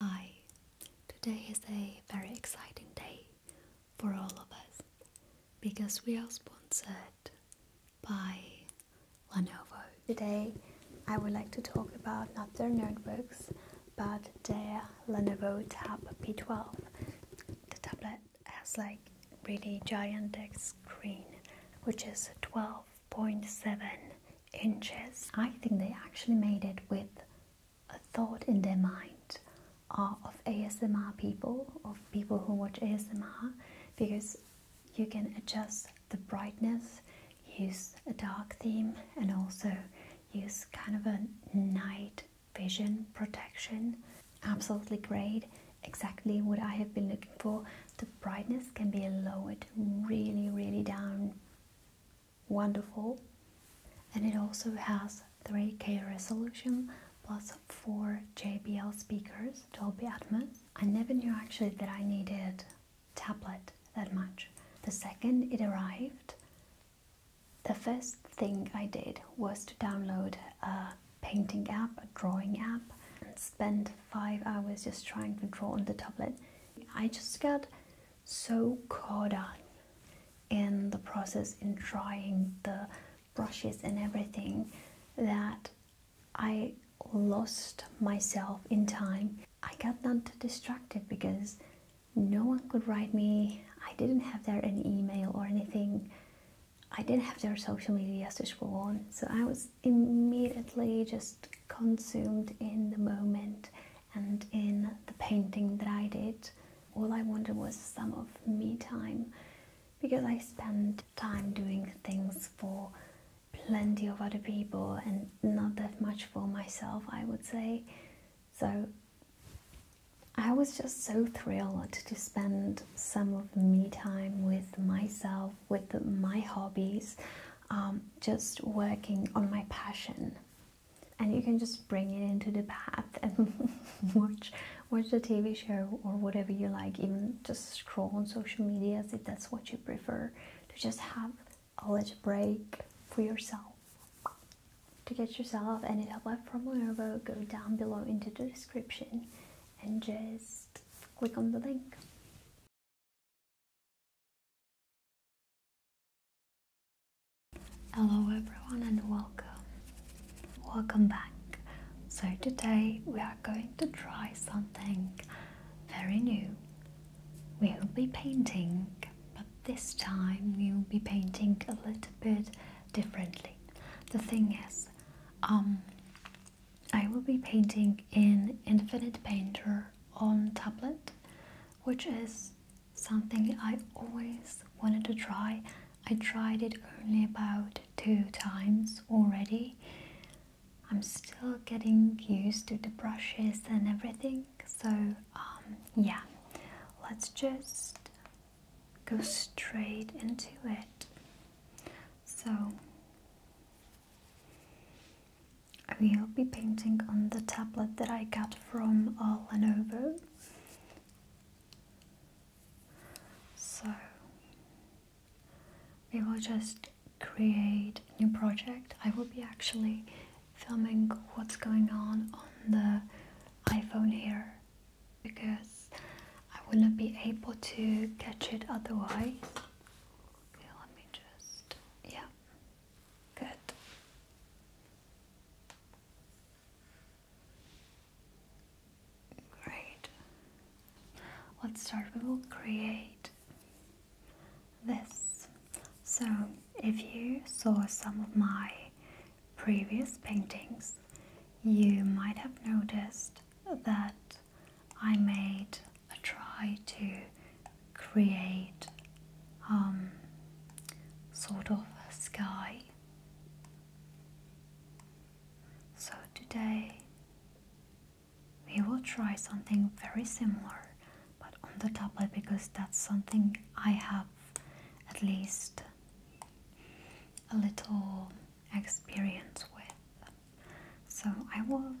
Hi, today is a very exciting day for all of us because we are sponsored by Lenovo. Today I would like to talk about not their notebooks but their Lenovo Tab P12, the tablet has like really gigantic screen which is 12.7 inches. I think they actually made it with a thought in their mind uh, of ASMR people, of people who watch ASMR, because you can adjust the brightness, use a dark theme, and also use kind of a night vision protection absolutely great exactly what I have been looking for the brightness can be lowered really really down wonderful and it also has 3k resolution plus 4 JBL speakers Dolby Atmos I never knew actually that I needed tablet that much the second it arrived the first thing I did was to download a painting app, a drawing app, and spend five hours just trying to draw on the tablet. I just got so caught up in the process in trying the brushes and everything that I lost myself in time. I got not too distracted because no one could write me. I didn't have there any email or anything I didn't have their social medias to scroll on, so I was immediately just consumed in the moment and in the painting that I did. All I wanted was some of me time because I spend time doing things for plenty of other people and not that much for myself, I would say. So I was just so thrilled to spend some of me time with myself, with my hobbies, um, just working on my passion. And you can just bring it into the bath and watch watch the TV show or whatever you like. Even just scroll on social media if that's what you prefer. To just have a little break for yourself. To get yourself any help from wherever, go down below into the description and just click on the link. Hello everyone and welcome. Welcome back. So today we are going to try something very new. We will be painting, but this time we will be painting a little bit differently. The thing is, um, I will be painting in Infinite Painter on tablet, which is something I always wanted to try. I tried it only about two times already. I'm still getting used to the brushes and everything, so um, yeah, let's just go straight into it. So we'll be painting on the tablet that I got from Lenovo. So we will just create a new project. I will be actually filming what's going on on the iPhone here because I wouldn't be able to catch it otherwise. Okay, let me just, yeah, good. Great. Let's start. We will create this. So, if you saw some of my previous paintings, you might have noticed that I made a try to create um, sort of a sky. So today we will try something very similar but on the tablet because that's something I have at least a little experience with so I will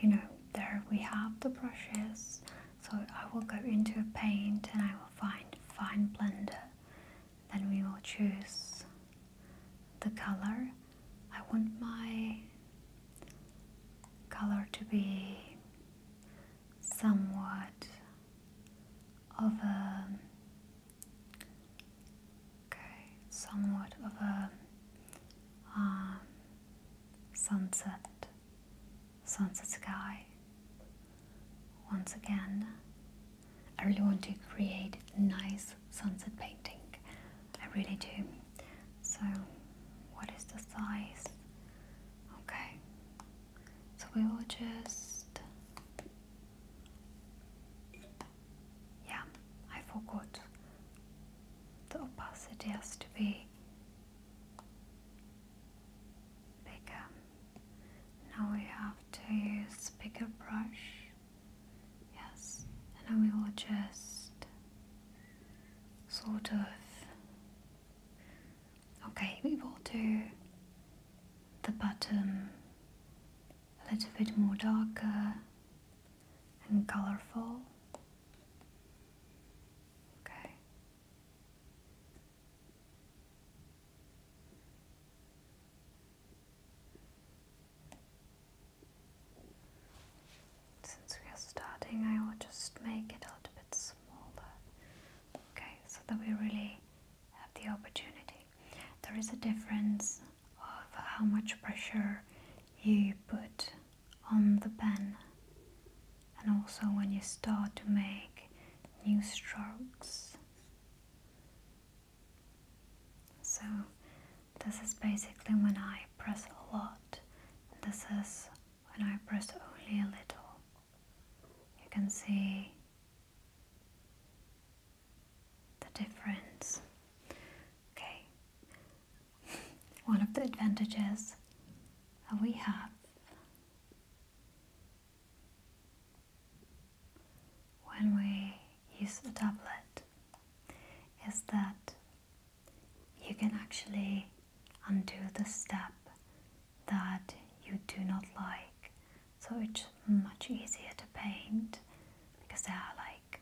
you know there we have the brushes so I will go into a paint and I will find fine blender then we will choose the color I want my color to be somewhat of a Okay, somewhat of a um, sunset, sunset sky. Once again, I really want to create nice sunset painting. I really do. So, what is the size? Okay, so we will just yeah, I forgot. The opacity has to be bigger. Now we have to use bigger brush. Yes, and we will just sort of. Okay, we will do the bottom a little bit more darker and colorful. Okay. Since we are starting, I will just make it a little bit smaller. Okay, so that we really have the opportunity there is a difference of how much pressure you put on the pen and also when you start to make new strokes. So this is basically when I press a lot. This is when I press only a little. You can see the difference. Okay, one of the advantages that we have when we use a tablet is that you can actually undo the step that you do not like. So it's much easier to paint because there are like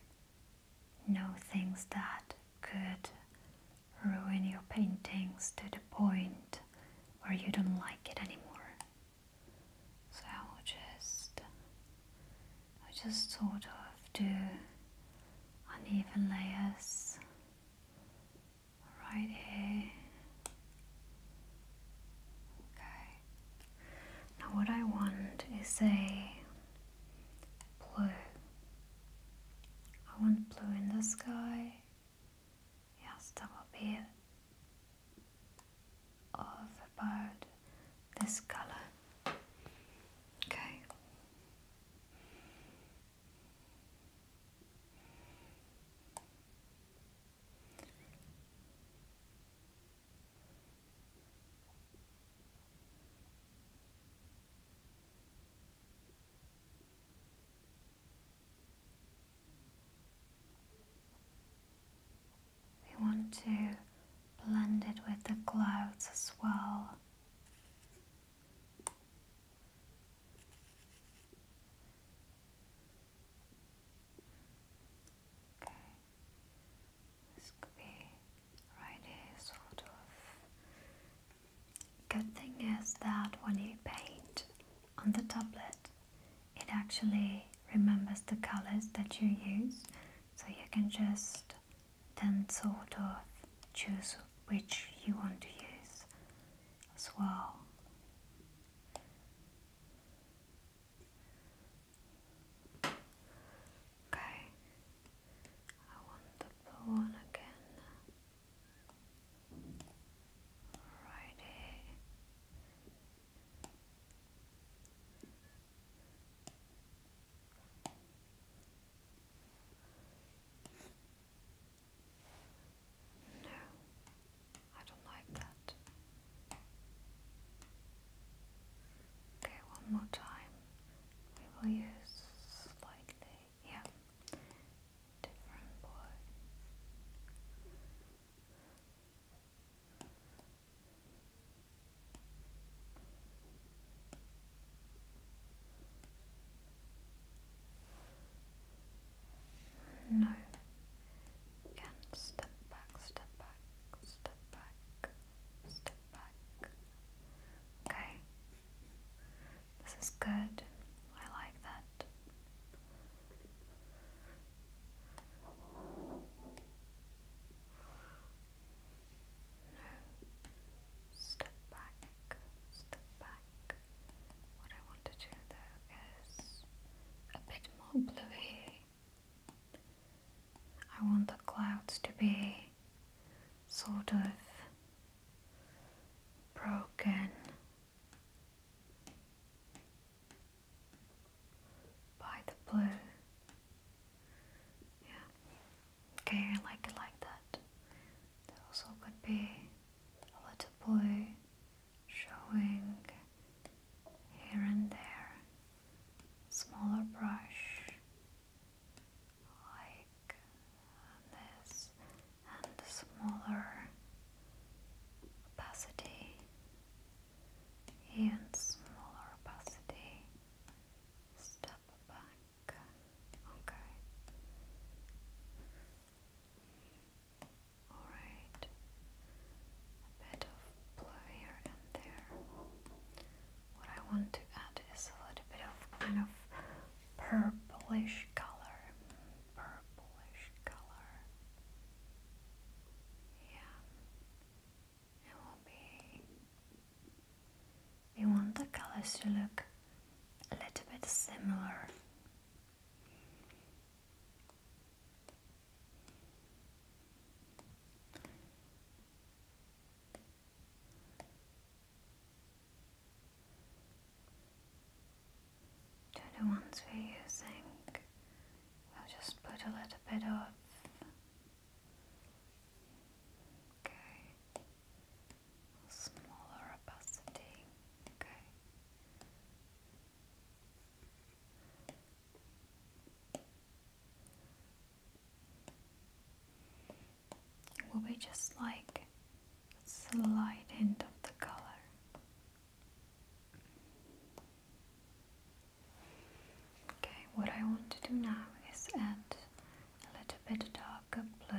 no things that could ruin your paintings to the point where you don't like it anymore. So I'll just i just sort of do uneven layers right here. Okay. Now what I want is a blue. I want blue in the sky. Yes, that will be Of about this color. Okay. We want to blend it with the clouds as well. This could be right sort of. Good thing is that when you paint on the tablet, it actually remembers the colors that you use, so you can just then sort of choose which you want to use as well. Okay, I want the blue one again. Alrighty. No, I don't like that. Okay, one more time. We will use slightly, yeah, different boy. No. Again, step back, step back, step back, step back. Okay? This is good. I like that. No. Step back. Step back. What I want to do though is a bit more bluey I want the clouds to be sort of broken by the blue. Yeah. Okay, I like it like that. There also could be a little blue showing here and there smaller brush like this and smaller opacity and smaller opacity step back okay all right a bit of blue here and there. What I want to add is a little bit of kind of purplish color. Purplish color. Yeah. It will be. We want the colors to look a little bit similar they the ones we're using. We'll just put a little bit of. Okay. Smaller opacity. Okay. It will be just like a slight end of the color. Okay, what I want to do now is add a little bit darker blue.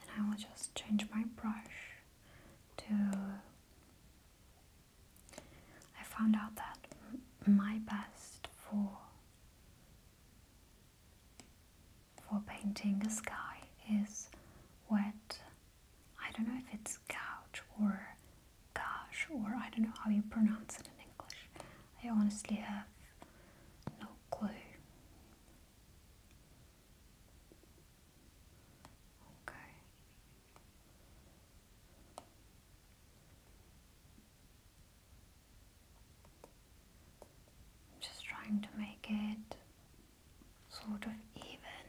And I will just change my brush to I found out that my best for for painting a sky is wet I don't know if it's couch or gosh or I don't know how you pronounce it in English. I honestly have no clue. Okay. I'm just trying to make it sort of even,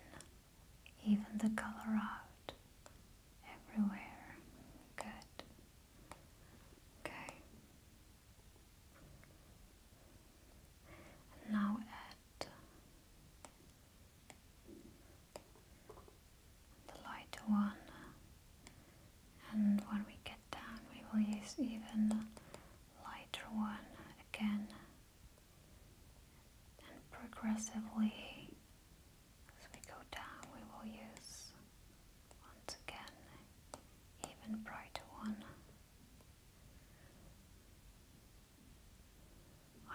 even the color out everywhere. Good. Okay. now the lighter one and when we get down we will use even lighter one again and progressively as we go down we will use once again even brighter one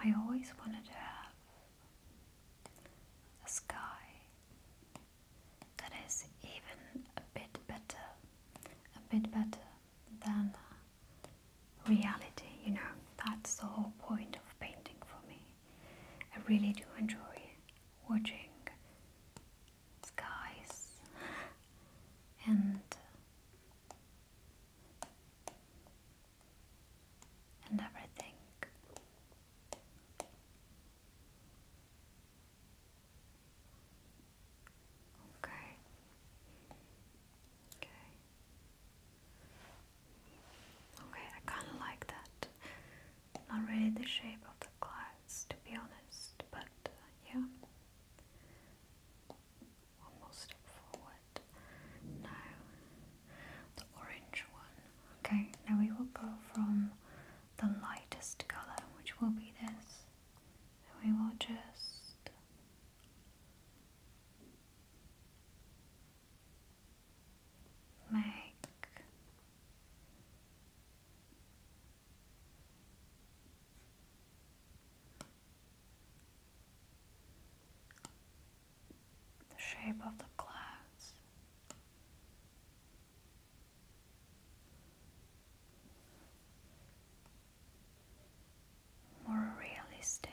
I always wanted to have a sky that is even a bit better, a bit better than reality, you know. That's the whole point of painting for me. I really do enjoy watching skies and and everything. Okay. Okay. Okay, I kind of like that. Not really the shape of the clouds, to be honest, but uh, yeah. One more step forward. Now, the orange one. Okay, now we will go from the lightest colour, which will be this. And we will just make the shape of the clouds. More realistic,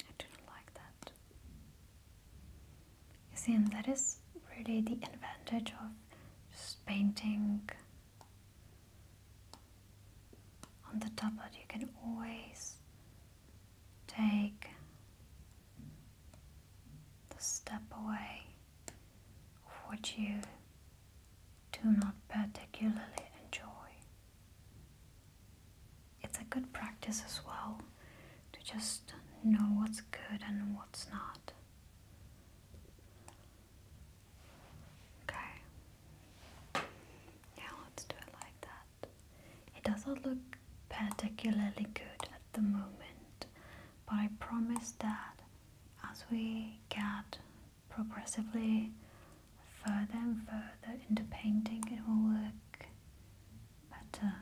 I do not like that. You see, and that is really the advantage of just painting on the tablet. You can always take the step away of what you do not particularly enjoy. It's a good practice as well to just know what's good and what's not. Okay. Now let's do it like that. It doesn't look particularly good at the moment, but I promise that as we get progressively further and further into painting, it will look better.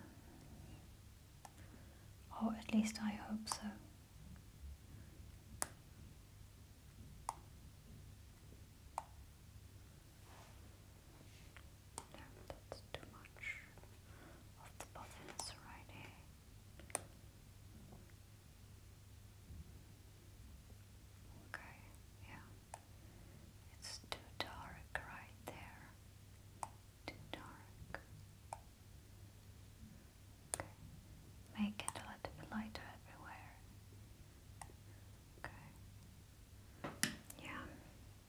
Or at least I hope so. No, that's too much of the buttons right Okay, yeah. It's too dark right there. Too dark. Okay. Make it a little bit lighter everywhere. Okay. Yeah.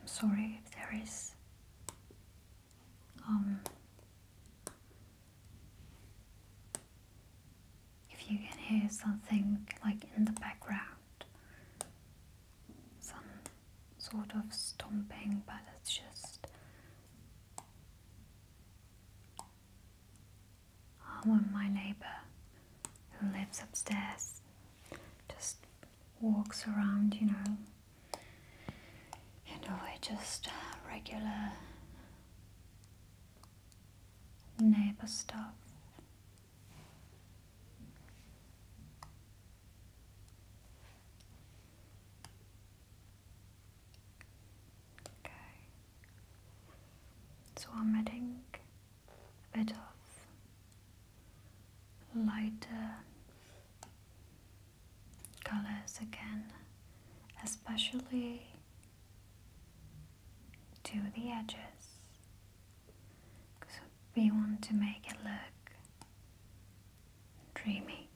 I'm sorry if there is um, if you can hear something like in the background some sort of stomping but it's just I'm um, my neighbor who lives upstairs just walks around, you know, and all just uh, regular neighbor stuff. Okay, so I'm adding a lighter colors again, especially to the edges because we want to make it look dreamy.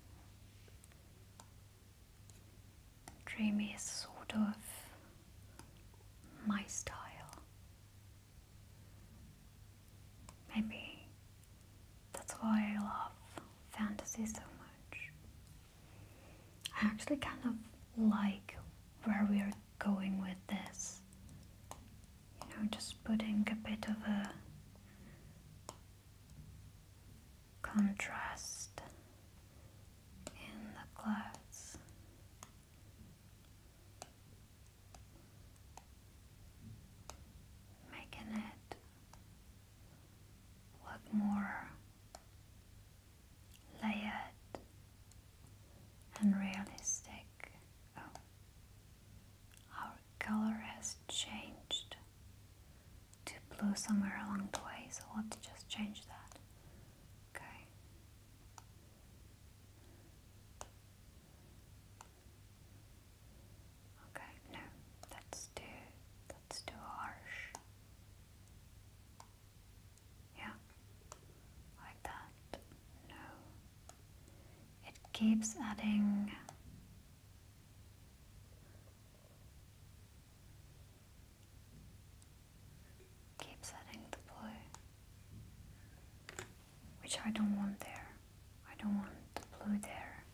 Dreamy is sort of my style. Maybe that's why I love fantasy so much. I actually kind of like where we are going with this. You know, just putting a bit of a contrast in the clouds making it look more layered and realistic. Oh, our color has changed to blue somewhere along the way, so let's just change that. Okay. Okay, no, that's too that's too harsh. Yeah. Like that. No. It keeps adding keeps adding the blue which I don't want there. I don't want the blue there.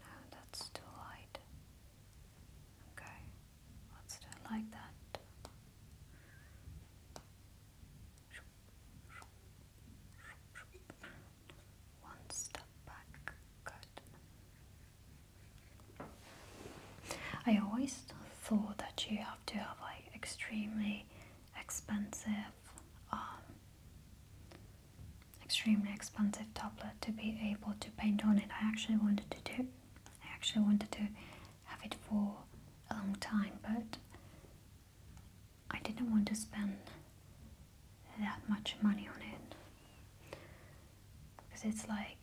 No, that's too light. Okay, let's do like that. One step back, good. I always thought that you have to have like extremely expensive, um, extremely expensive tablet to be able to paint on it. I actually wanted to do, I actually wanted to have it for a long time, but I didn't want to spend that much money on it because it's like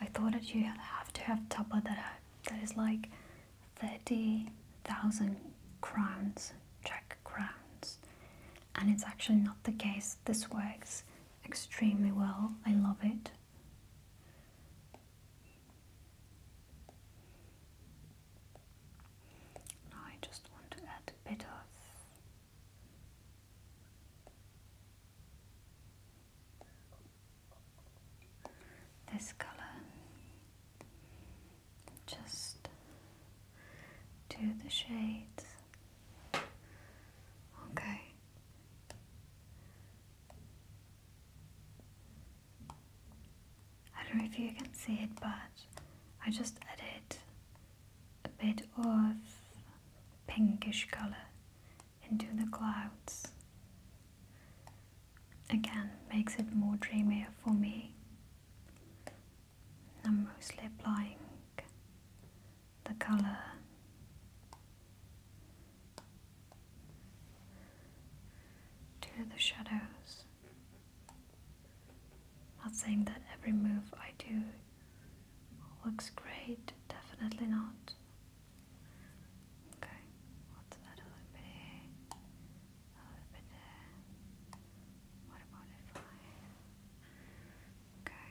I thought that you have to have tapa that that is like thirty thousand crowns, Czech crowns, and it's actually not the case. This works extremely well. I love it. Now I just want to add a bit of this color just to the shades. Okay. I don't know if you can see it, but I just added a bit of pinkish color into the clouds. Again, makes it more dreamier for me. I'm mostly applying the color to the shadows. Not saying that every move I do looks great, definitely not. Okay, what's that other bit here? Another What about if I Okay.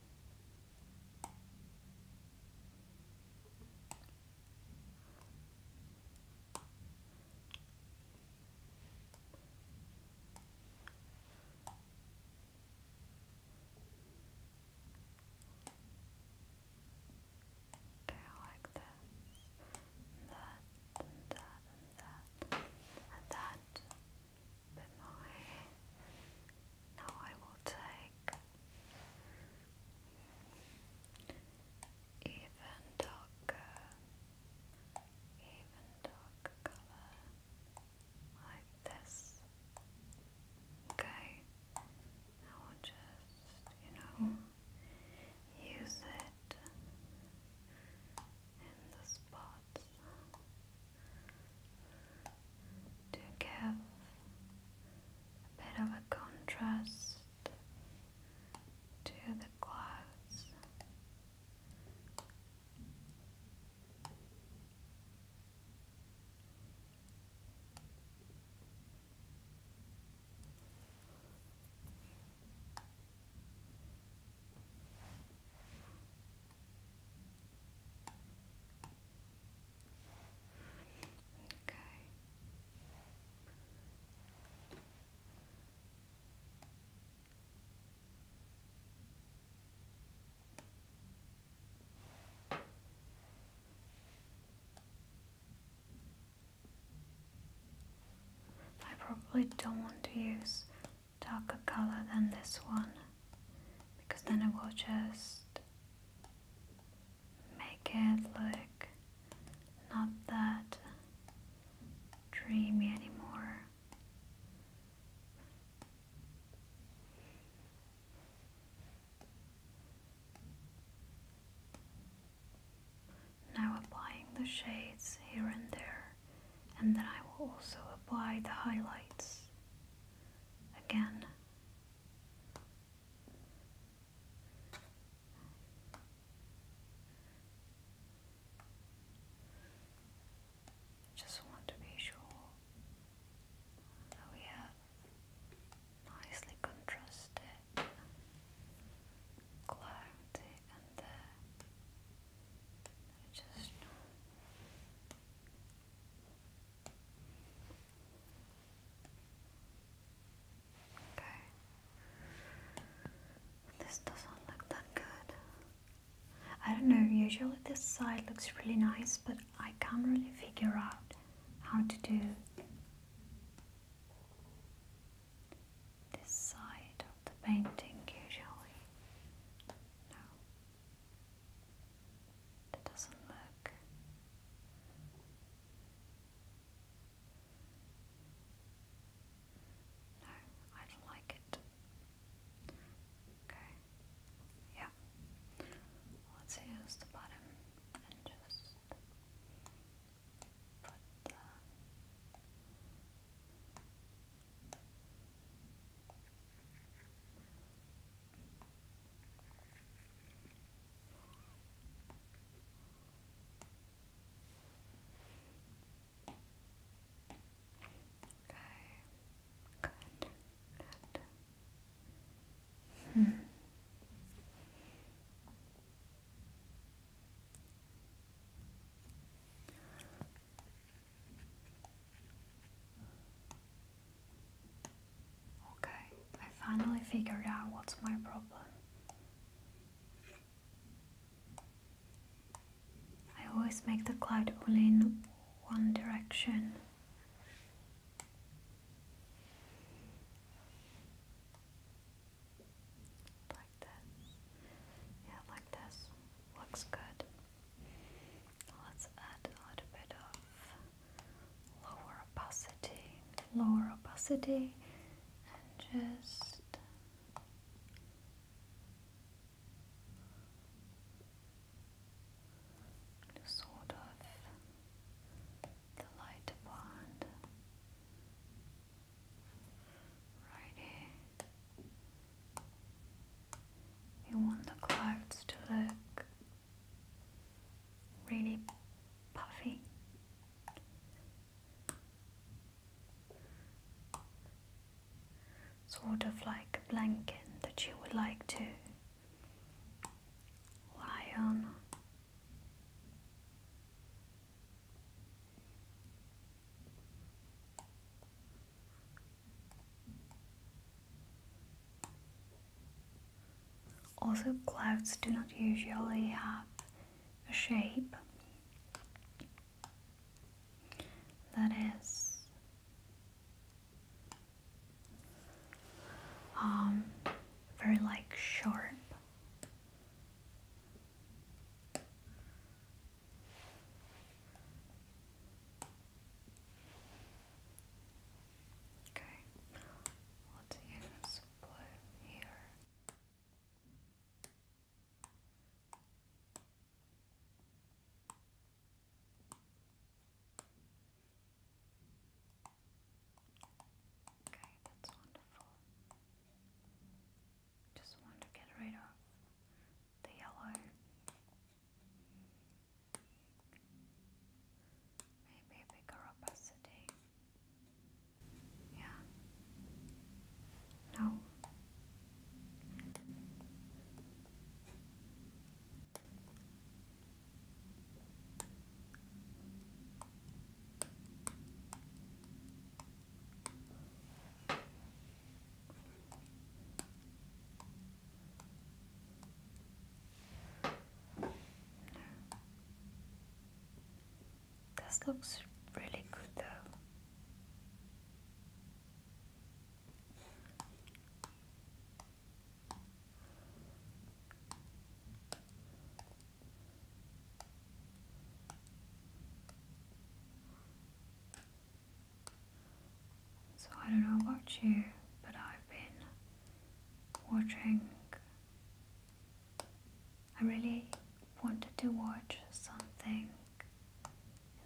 Okay, I like this, and that, that, that, and that. Bit more. Now I will take even darker, even darker like this. Okay, I will just, you know, use it in the spots to give a bit of a contrast to the clouds. I probably don't want to use darker color than this one because then it will just make it look not that dreamy anymore. Now applying the shades here and there, and then I will also apply the highlights. Again, just want to be sure that we have nicely contrasted clarity and there. Just this doesn't look that good. I don't know, usually this side looks really nice, but I can't really figure out how to do this side of the painting usually. No. That doesn't look no, I don't like it. Okay, yeah. Let's use the bottom and just put the Okay. Good. Good. Hmm. Okay. Okay, I finally figured out what's my problem. I always make the cloud only in one direction. Like this. Yeah, like this. Looks good. Let's add a little bit of lower opacity, lower opacity, and just sort of the lighter part right here. You want the clouds to look really puffy. Sort of like a blanket that you would like to lie on. Also, clouds do not usually have a shape that is um, very like sharp. Okay, let blue here. Okay, that's wonderful. Just want to get rid of the yellow. Maybe a bigger opacity. Yeah. No. This looks really good though. So I don't know about you, but I've been watching I really wanted to watch something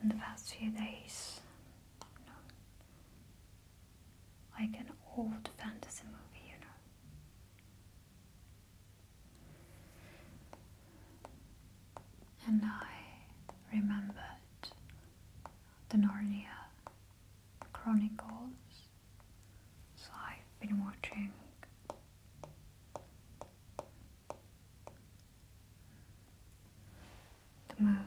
in the past few days. Like an old fantasy movie, you know. And I remembered the Narnia Chronicles so I've been watching the movies.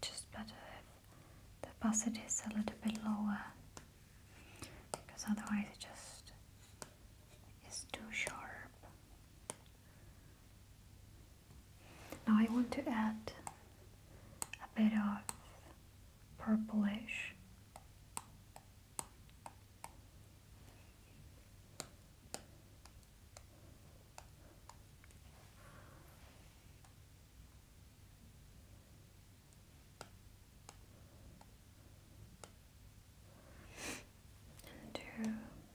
Just better if the basset is a little bit lower because otherwise it just is too sharp. Now I want to add a bit of purplish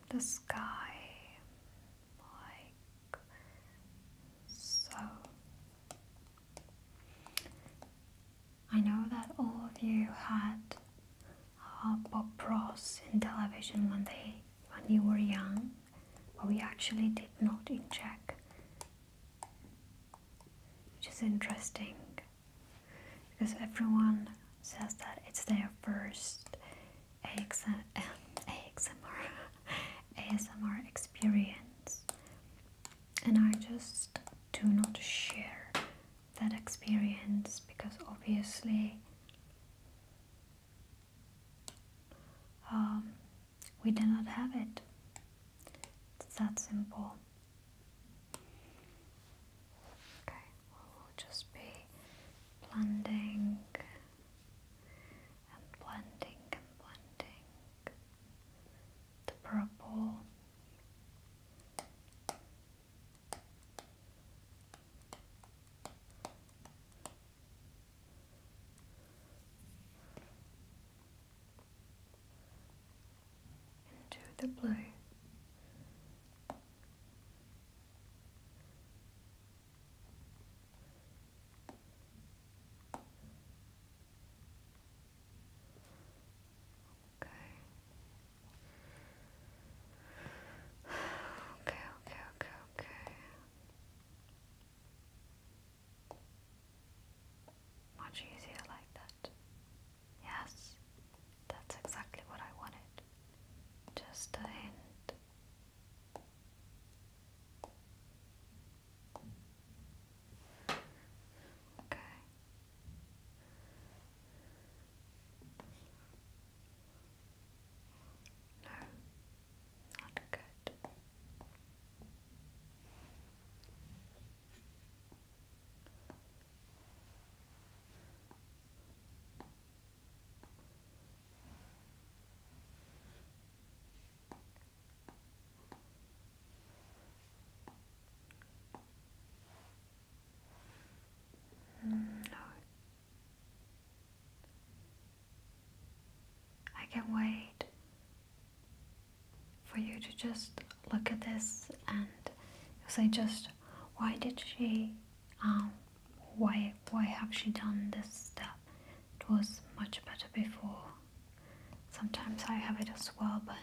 to the sky like so I know that all of you had uh, Bob Ross in television when they when you were young, but we actually did not in Czech, which is interesting because everyone says that it's their first AXM, uh, ASMR experience, and I just do not share that experience because obviously um, we do not have it. It's that simple. Okay, we'll just be blending and blending and blending the purple into the blue. Okay. Okay, okay, okay, Much easier like that. Yes, that's exactly what I wanted. Just a hint. Okay. No, not good. Good. Mm, no. I can wait for you to just look at this and say just why did she um, why why have she done this stuff? It was much better before. Sometimes I have it as well but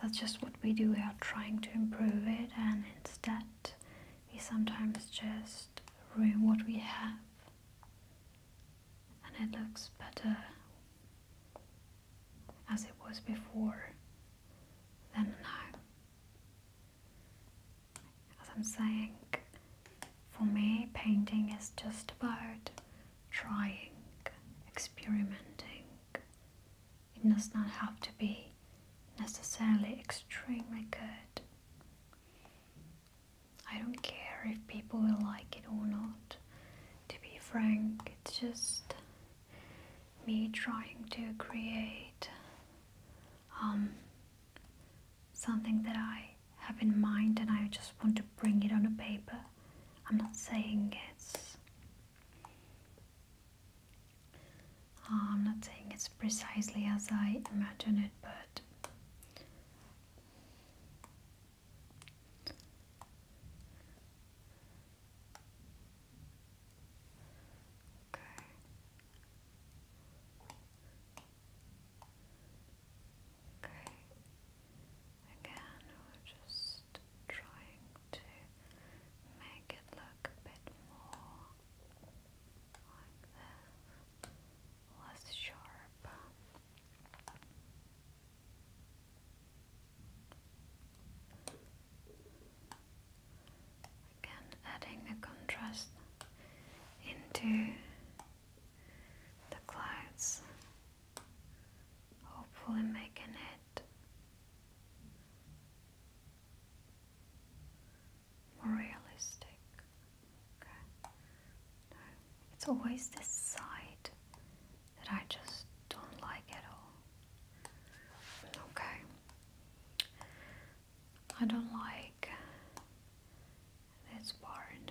that's just what we do. We are trying to improve it, and instead, we sometimes just ruin what we have, and it looks better as it was before than now. As I'm saying, for me, painting is just about trying, experimenting, it does not have to be necessarily extremely good. I don't care if people will like it or not. To be frank, it's just me trying to create um, something that I have in mind and I just want to bring it on the paper. I'm not saying it's Ah, I'm not saying it's precisely as I imagine it, but okay. Okay. Again, we'll just just trying to make it look a bit more like less sharp. Again, adding the contrast into the clouds, hopefully making it more realistic. Okay. it's always this side that I just don't like at all. Okay. I don't like this part.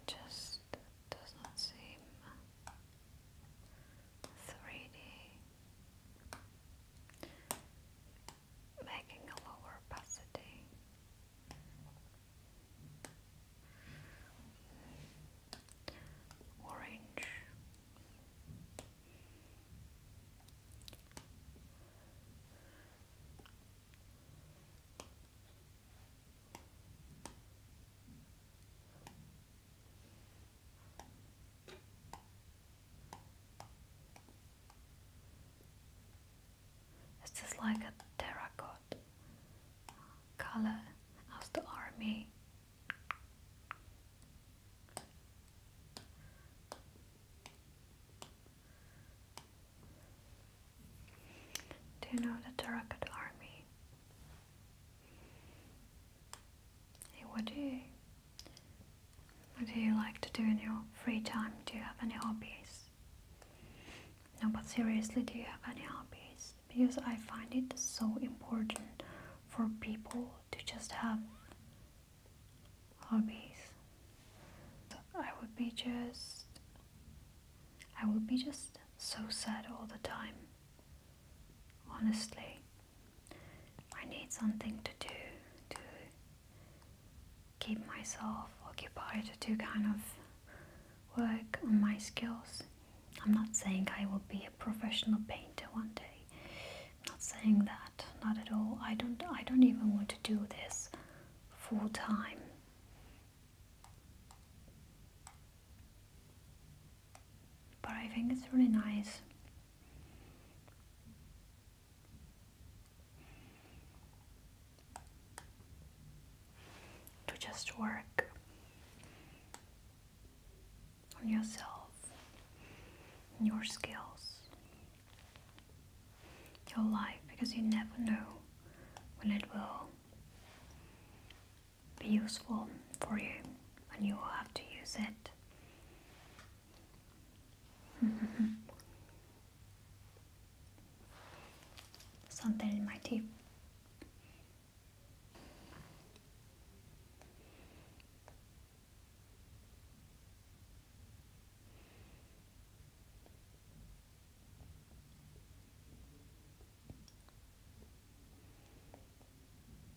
It just does not seem three D, making a lower opacity. Orange it's just like a terracotta color of the army. Do you know the terracotta army? Hey, what do you what do you like to do in your free time? Do you have any hobbies? No, but seriously, do you have any hobbies? Because I find it so important for people to just have hobbies. I would be just I would be just so sad all the time. Honestly, I need something to do to keep myself occupied, to kind of work on my skills. I'm not saying I will be a professional painter one day. I'm not saying that, not at all. I don't I don't even want to do this full time but I think it's really nice. To just work on yourself, your skills, your life, because you never know when it will be useful for you and you will have to use it. Something in my teeth.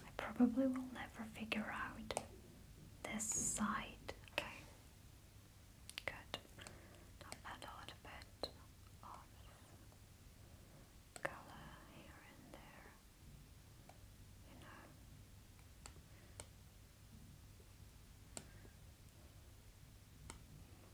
I probably will never figure out this side. Okay, good. Now add a little of color here and there. You know.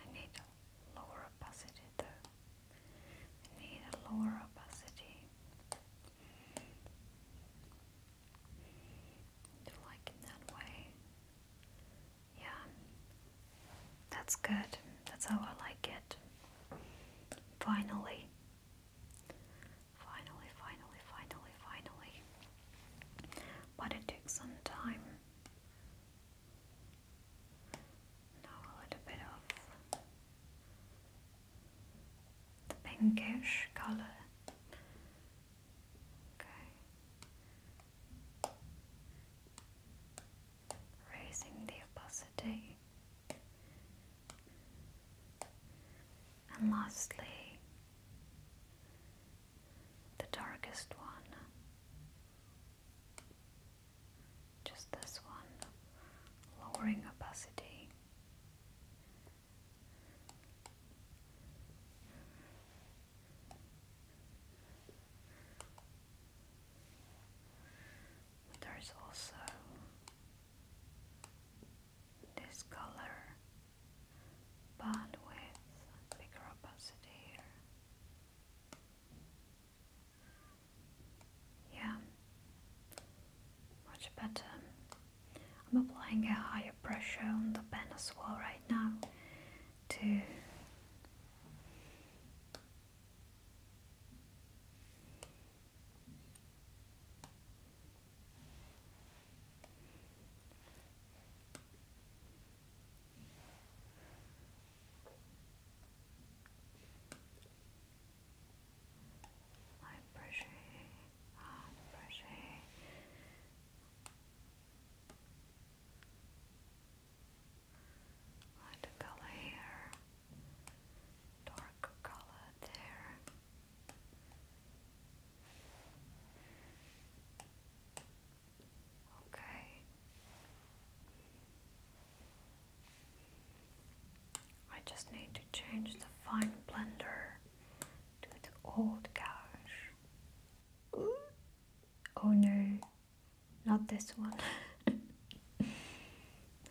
I need a lower opacity though. I need a lower opacity. you like it that way? Yeah, that's good. That's how I like it. Finally. Finally, finally, finally, finally. But it some time. Now a little bit of the pinkish color. Okay raising the opacity. And lastly, the darkest one, just this one, lowering opacity. there's also this color but with bigger opacity here. Yeah, much better. I'm applying a higher pressure on the pen as well right now to I'm brushing, i brushing. Let it go dark color there. Okay. I just need to change the fine blender to the old gouge. Oh no, not this one. okay,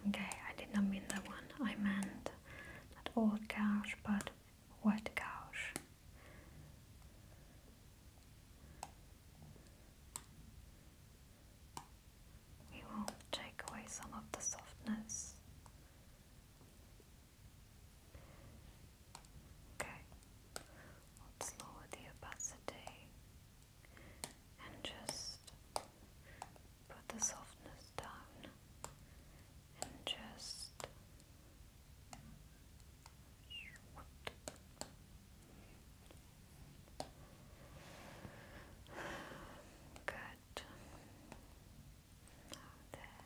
I did not mean that one. I meant not old couch, but wet couch. We will take away some of the softness. Okay, let the opacity and just put the softness down and just Good. there.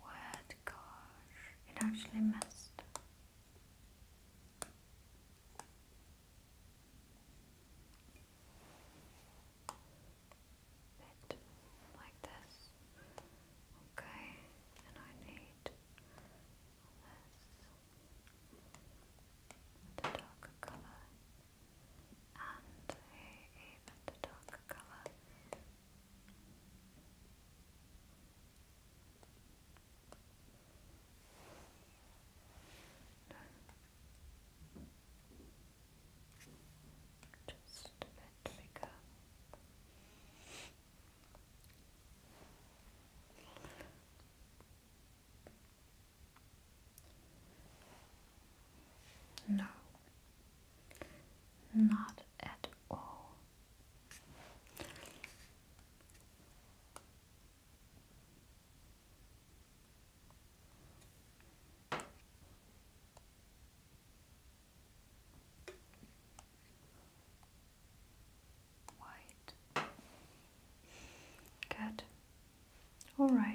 What gosh, it actually messed. Bit like this. Okay, and I need this, the darker color, and a even darker color. Just a bit bigger. No, not at all. Good. All right.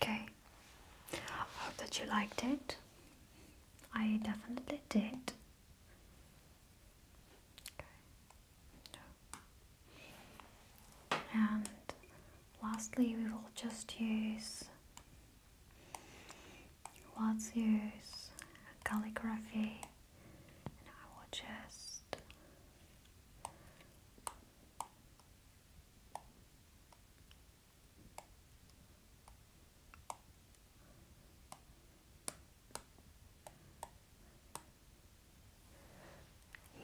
Okay, I hope that you liked it. I definitely did. And lastly, we will just use let's use calligraphy, and I will just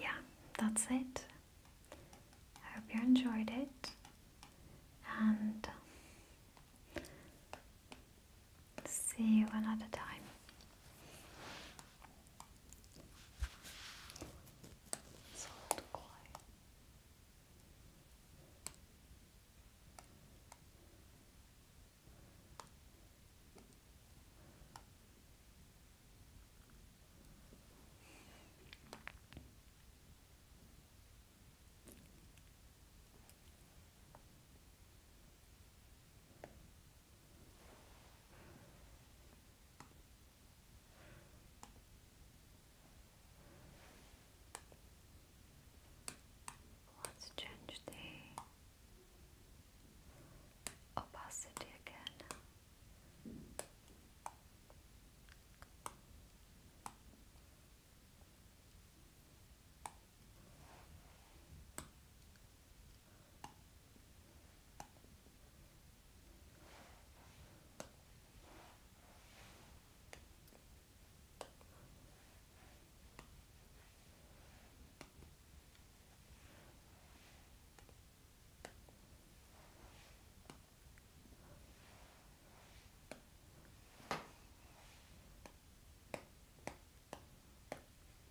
yeah, that's it. I hope you enjoyed it and see you another time. It's quiet. Let's change the opacity again. Okay.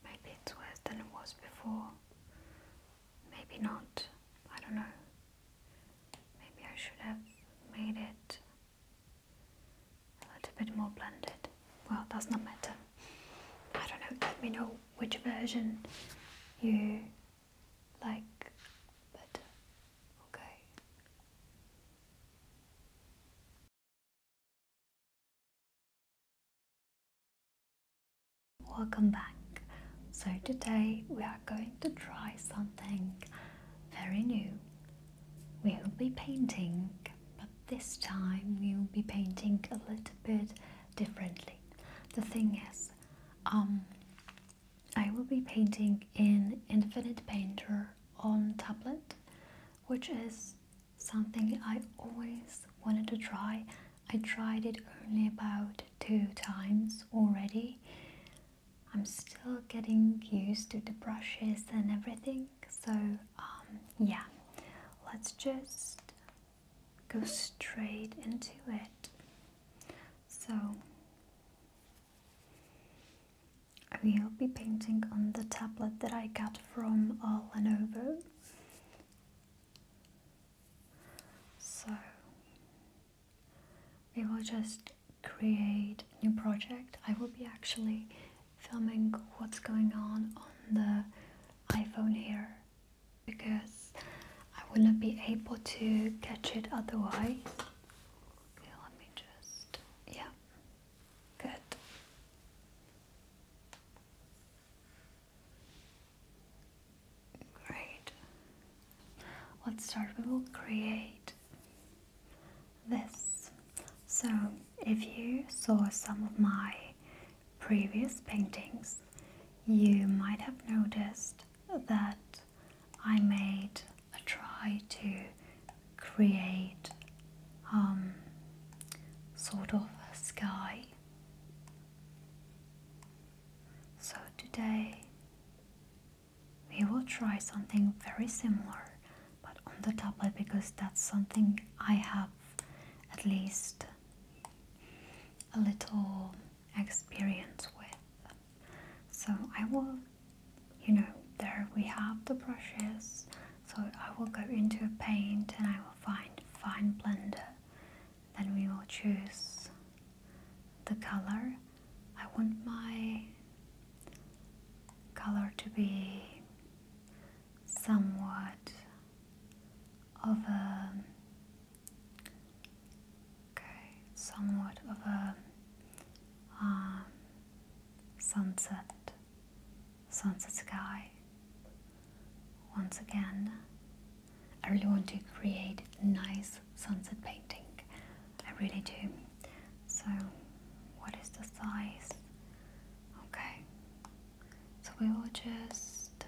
Maybe it's worse than it was before. Maybe not. I don't know. Maybe I should have made it a little bit more blended. Well, does not matter. I don't know, let me know which version you like better. Okay. Welcome back. So today we are going to try something very new. We'll be painting, this time we'll be painting a little bit differently. The thing is, um, I will be painting in Infinite Painter on tablet, which is something I always wanted to try. I tried it only about two times already. I'm still getting used to the brushes and everything, so um, yeah, let's just go straight into it. So, we'll be painting on the tablet that I got from uh, Lenovo. So, we will just create a new project. I will be actually filming what's going on on the iPhone here because I will not be able to catch it otherwise. Okay, let me just, yeah, good. Great. Let's start. We will create this. So, if you saw some of my previous paintings, you might have noticed that I made a try to create um, sort of a sky. So today we will try something very similar but on the tablet because that's something I have at least a little experience with. So I will, you know, there we have the brushes. So I will go into a paint and I will find fine blender. Then we will choose the color. I want my color to be somewhat of a okay, somewhat of a um, sunset, sunset sky. Once again, I really want to create a nice sunset painting. I really do. So, what is the size? Okay, so we will just.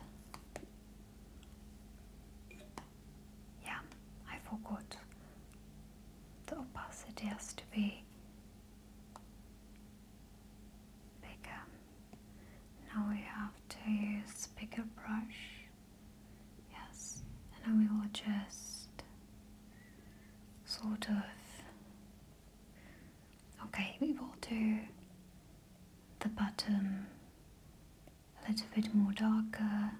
Yeah, I forgot. The opacity has to be bigger. Now we have to use bigger brush. Yes, and we will just sort of Okay, we will do the bottom a little bit more darker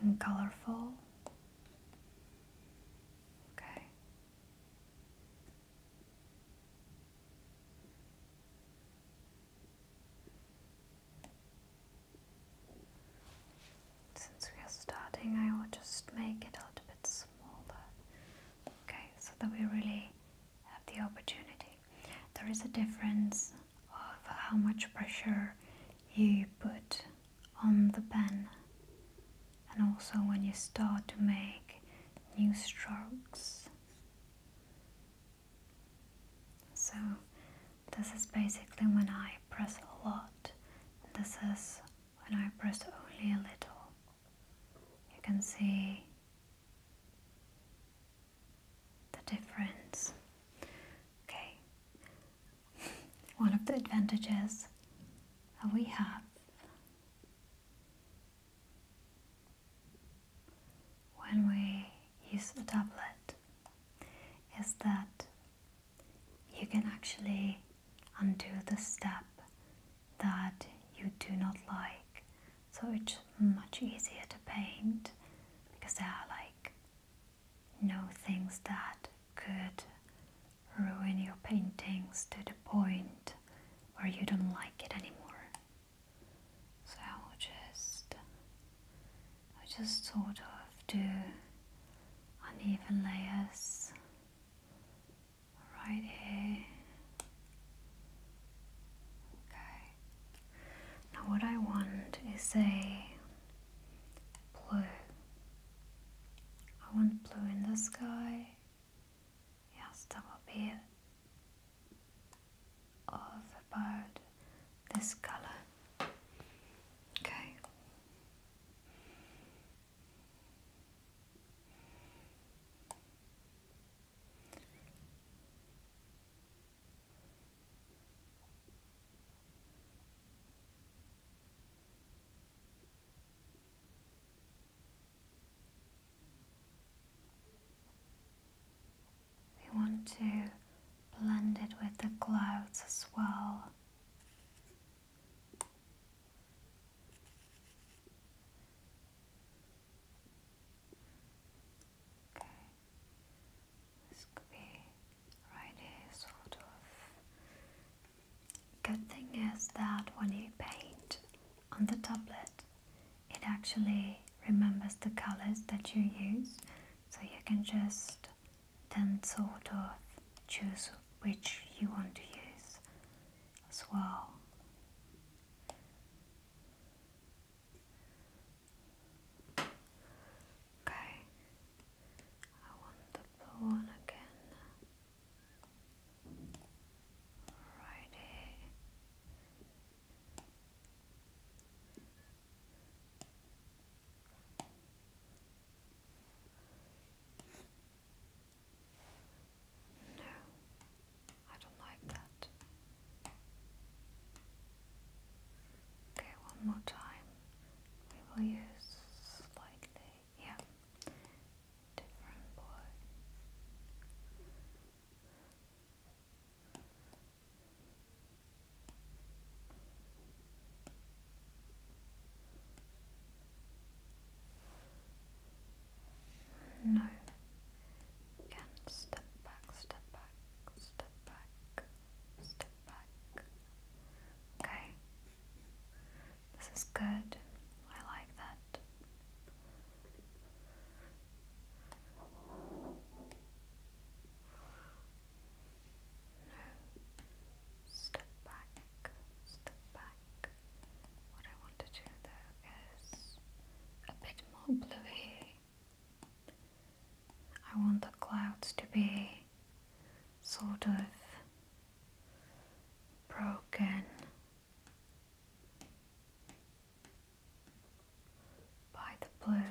and colorful. Okay. Since we are starting, I will just make it a little bit smaller okay so that we really have the opportunity there is a difference of how much pressure you put on the pen and also when you start to make new strokes so this is basically when I press a lot this is when I press only a little you can see the difference. Okay, one of the advantages that we have when we use a tablet is that you can actually undo the step that you do not like. So it's much easier to paint because there are like no things that could ruin your paintings to the point where you don't like it anymore. So I'll just i just sort of do uneven layers right here. Okay. Now what I want is a blue. I want blue in the sky. Yes, that will be Of about this color. Okay. We want to blend it with the clouds as well. This could be right sort of. Good thing is that when you paint on the tablet, it actually remembers the colors that you use, so you can just then sort of choose which you want to use as well. Okay, I want the blue one again. Alrighty. No, I don't like that. Okay, one more time. We will use slightly, yeah, different blue. No. Again, step back, step back, step back, step back. Okay. This is good. I like that. No. Step back, step back. What I want to do though is a bit more bluey. I want the clouds to be sort of broken by the blue.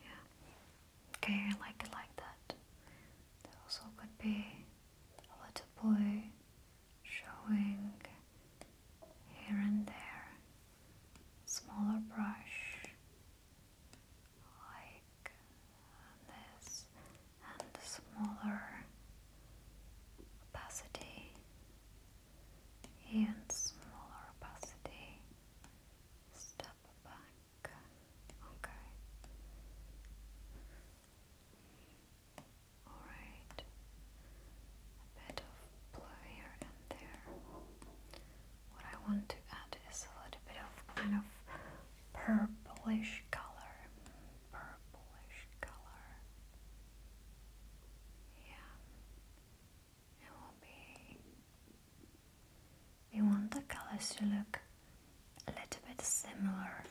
Yeah. Okay, I like it like that. There also could be a little blue showing here and there smaller brush like this and smaller opacity and smaller opacity step back okay Alright, a bit of blue here and there. What I want to add is a little bit of kind of purplish color. Purplish color. Yeah. It will be. We want the colors to look a little bit similar.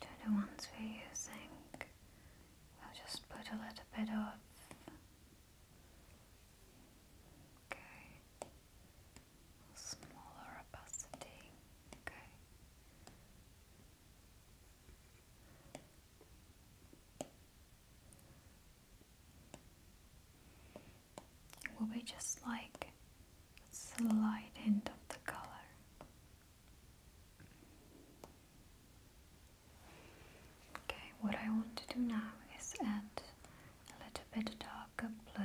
To the ones we're using, we'll just put a little bit of. Okay. Smaller opacity. Okay. It will be just like a slight hint of the color. Okay, what I want to do now is add a little bit darker blue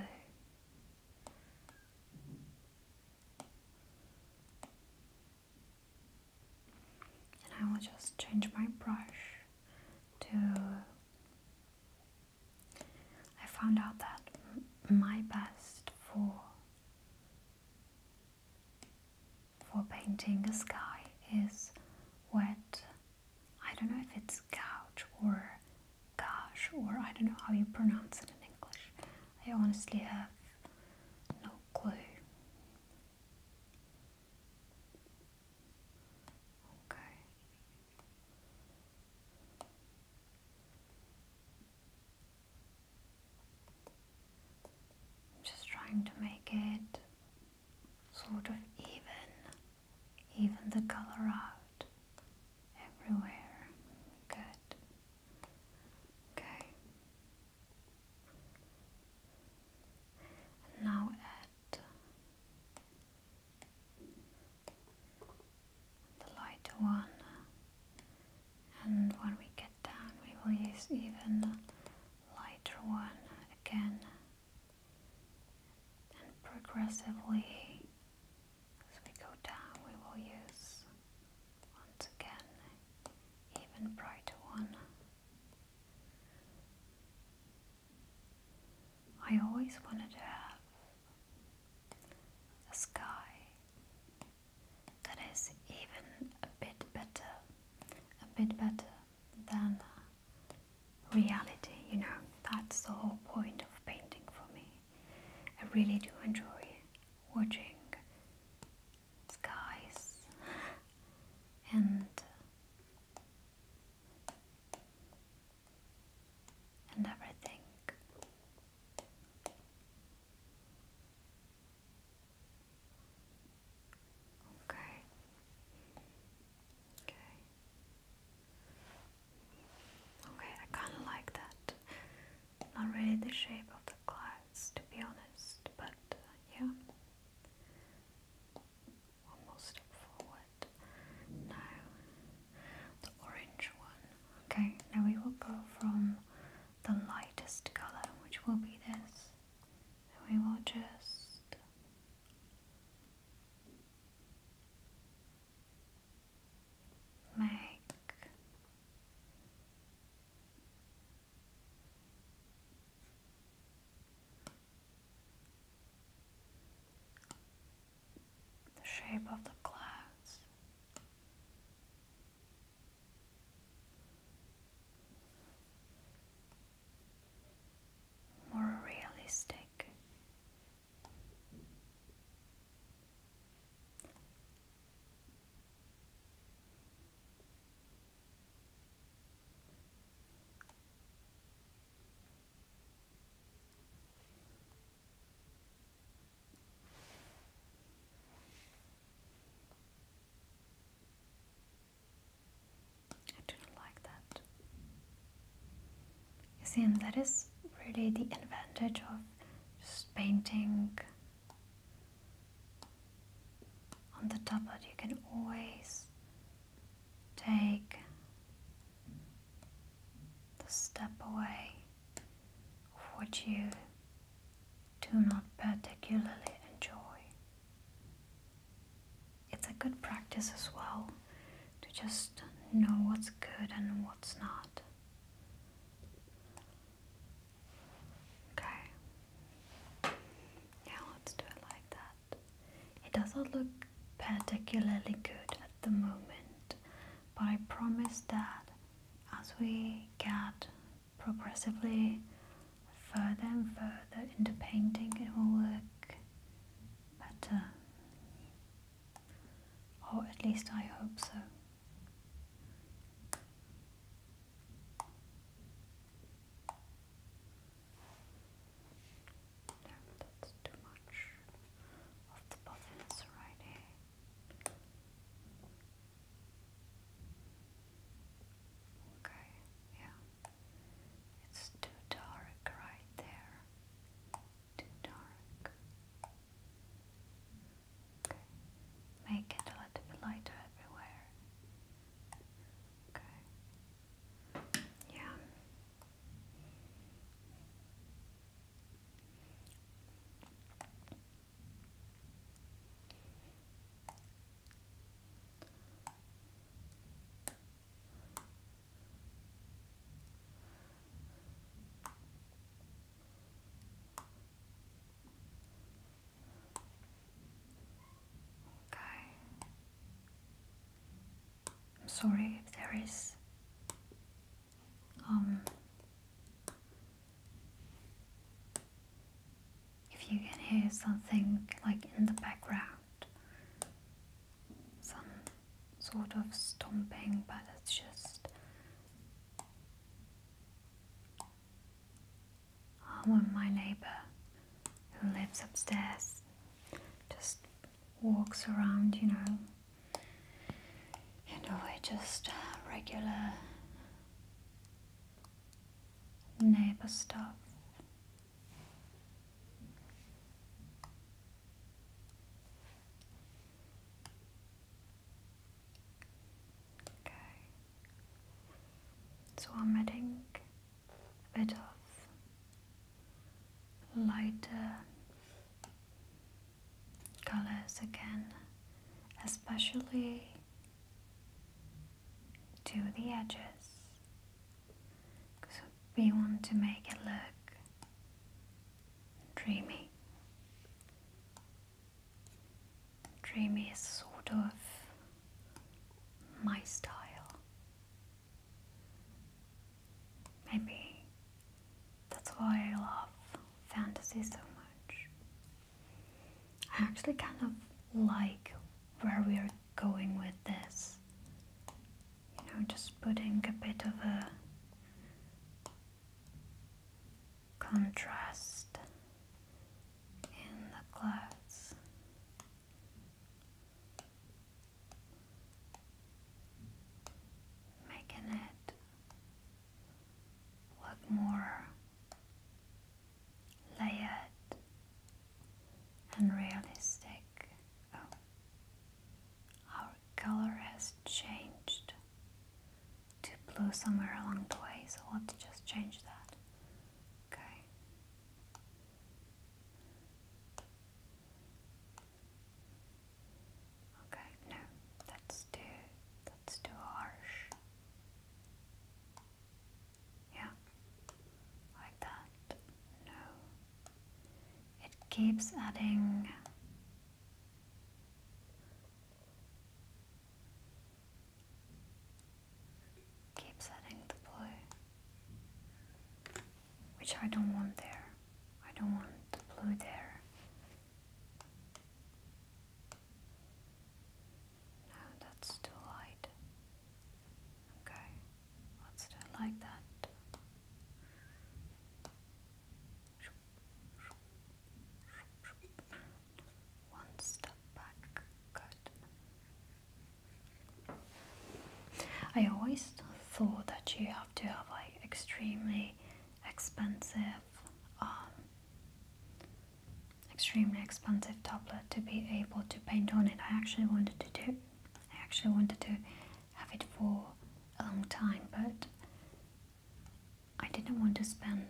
I will just change my brush to. I found out that my best for for painting a sky is wet. I don't know if it's couch or gosh or I don't know how you pronounce it in English. I honestly have no clue. Okay. just trying to make it sort of even, even the color out everywhere. Good. Okay. now add the lighter one, and when we get down, we will use even lighter one again, and progressively as we go down, we will use once again, even brighter one. I always wanted to have a sky that is even a bit better, a bit better than reality, you know. That's the whole point of painting for me. I really do enjoy watching skies and and everything. Okay. Okay. Okay, I kinda like that. Not really the shape of the cloud to be honest, but uh, yeah. One forward. Now, the orange one. Okay, now we will go from the lightest colour, which will be this, we will just. Make the shape of the clouds. More realistic I do not like that. You see, that is really the advantage of just painting on the tablet you can always take the step away of what you do not particularly enjoy. It's a good practice as well to just know what's good and what's not. Okay. Yeah, let's do it like that. It doesn't look particularly good at the moment, but I promise that as we get progressively further and further into painting, it will work better. Or at least I hope so. No, that's too much of the buttons right here. Okay, yeah. It's too dark right there. Too dark. Okay. Make it a little lighter everywhere. Okay. Yeah. Okay. I'm sorry if there is um if you can hear something like in the background some sort of stomping but it's just I'm my neighbor who lives upstairs, just walks around, you know. You know, we just regular neighbor stuff. Okay. So I'm adding a bit of lighter colors again, especially to the edges because we want to make it look dreamy. Dreamy is sort of my style. Maybe that's why I love fantasy so much. I actually kind of like where we're going with this. You know, just putting a bit of a contrast in the clouds. Making it look more layered and realistic. Oh, our color has changed to blue somewhere along the way, so we'll just change that. Okay. Okay, no, that's too that's too harsh. Yeah. Like that. No. It keeps adding Keep setting the blue, which I don't want there. I don't want the blue there. No, that's too light. Okay, let's like that one step back cut. I always thought that you have to have like extremely expensive, um, extremely expensive tablet to be able to paint on it. I actually wanted to do, I actually wanted to have it for a long time, but I didn't want to spend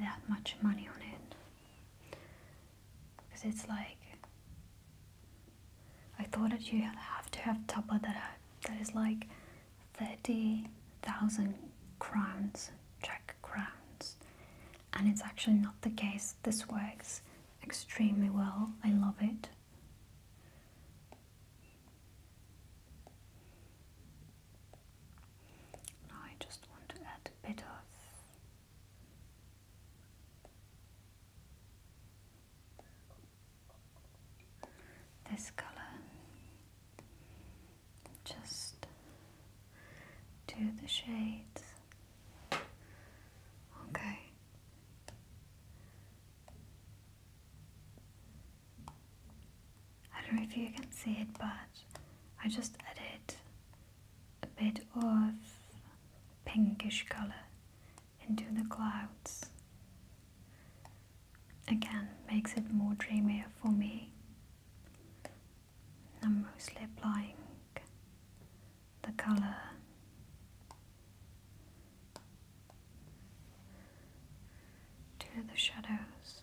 that much money on it because it's like I thought that you have to have tapa that that is like thirty thousand crowns Czech crowns and it's actually not the case this works extremely well I love it I just want to add a bit of this color just to the shades okay I don't know if you can see it, but I just added a bit of pinkish color into the clouds. Again, makes it more dreamier for me. I'm mostly applying the color to the shadows.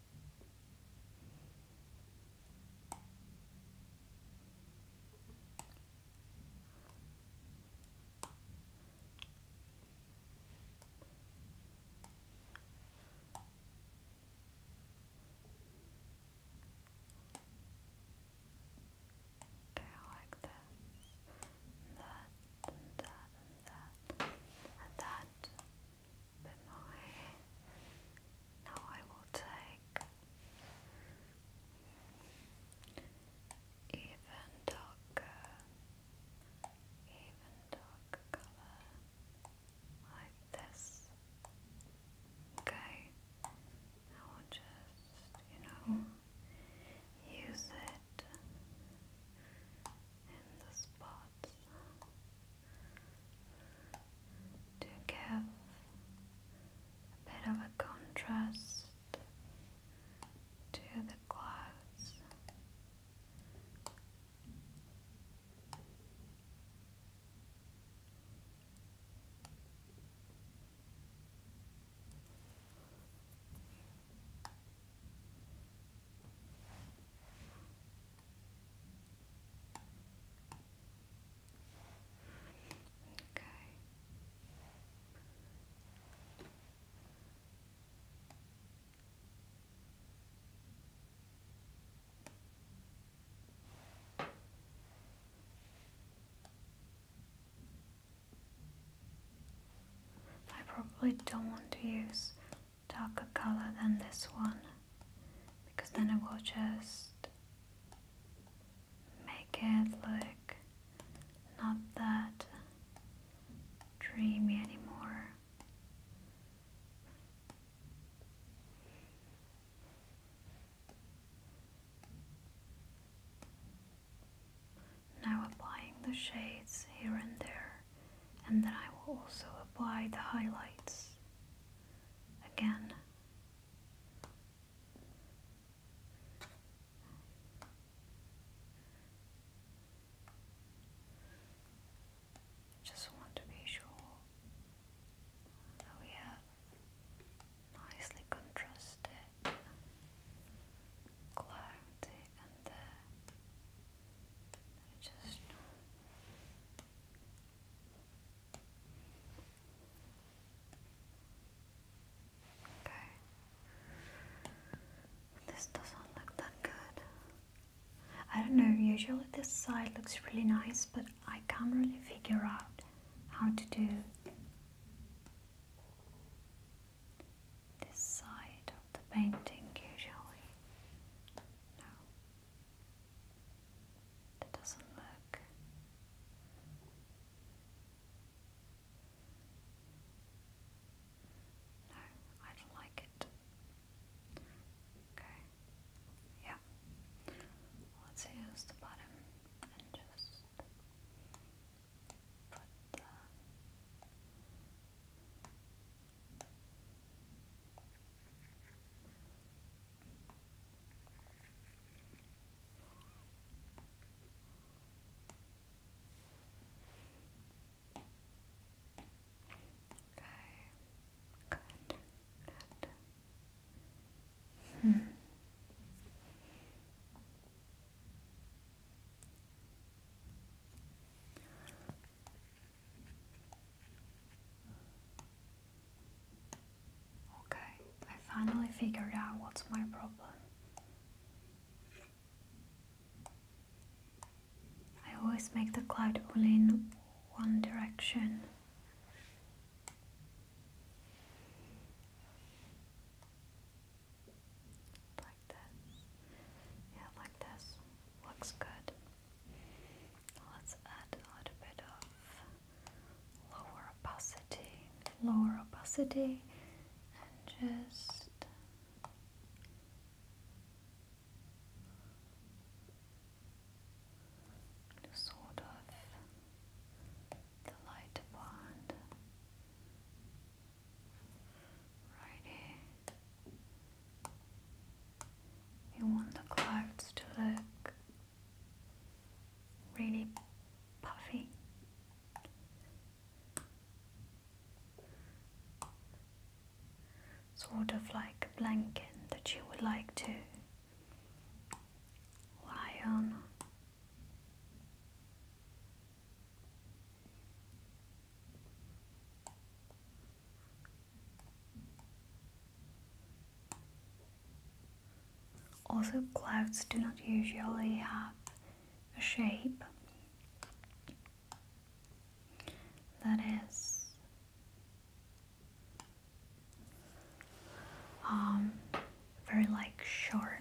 Okay, like this, that, that, that, and that, then I now I will take even darker, even darker color like this. Okay, I will just you know use it in the spot to give a bit of a contrast to the clouds. I probably don't want to use darker color than this one because then it will just make it look not that dreamy anymore. Now applying the shades here and there and then I will also apply the highlights again. Just want to be sure that we have nicely contrasted clarity and uh, I This doesn't look that good. I don't know, usually this side looks really nice, but I can't really figure out how to do this side of the painting usually. No. That doesn't look. No, I don't like it. Okay. Yeah. Let's use the bottom and just put the Okay. Good. Good. Hmm. Okay, I finally figured out what's my problem. I always make the cloud only in one direction. Like this. Yeah, like this. Looks good. Let's add a little bit of lower opacity, lower opacity, and just sort of the lighter part right here. You want the clouds to look really puffy. Sort of like a blanket that you would like to lie on. Also, clouds do not usually have a shape that is um, very like sharp.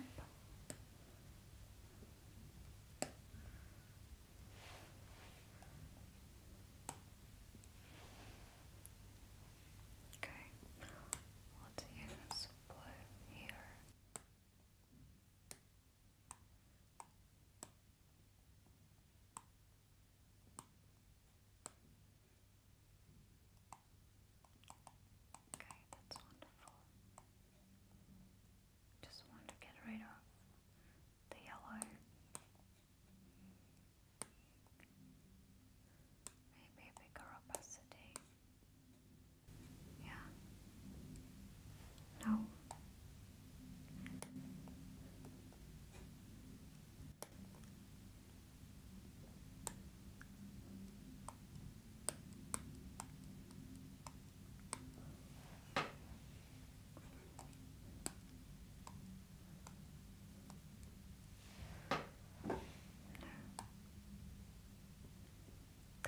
Okay, you us use blue here. Okay, that's wonderful. Just want to get rid of the yellow. Maybe a bigger opacity. Yeah. No.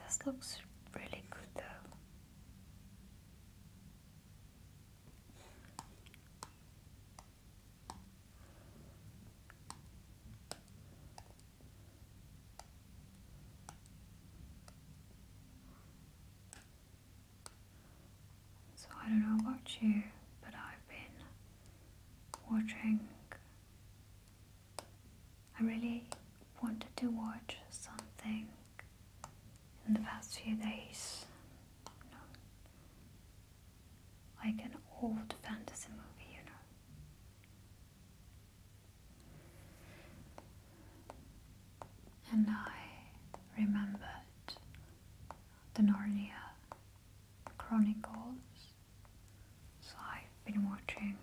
This looks really good though. So I don't know about you, but I've been watching. I really wanted to watch something in the past few days. like an old fantasy movie, you know. And I remembered the Narnia Chronicles. So I've been watching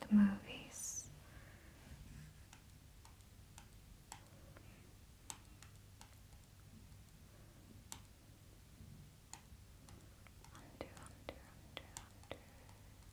the movies.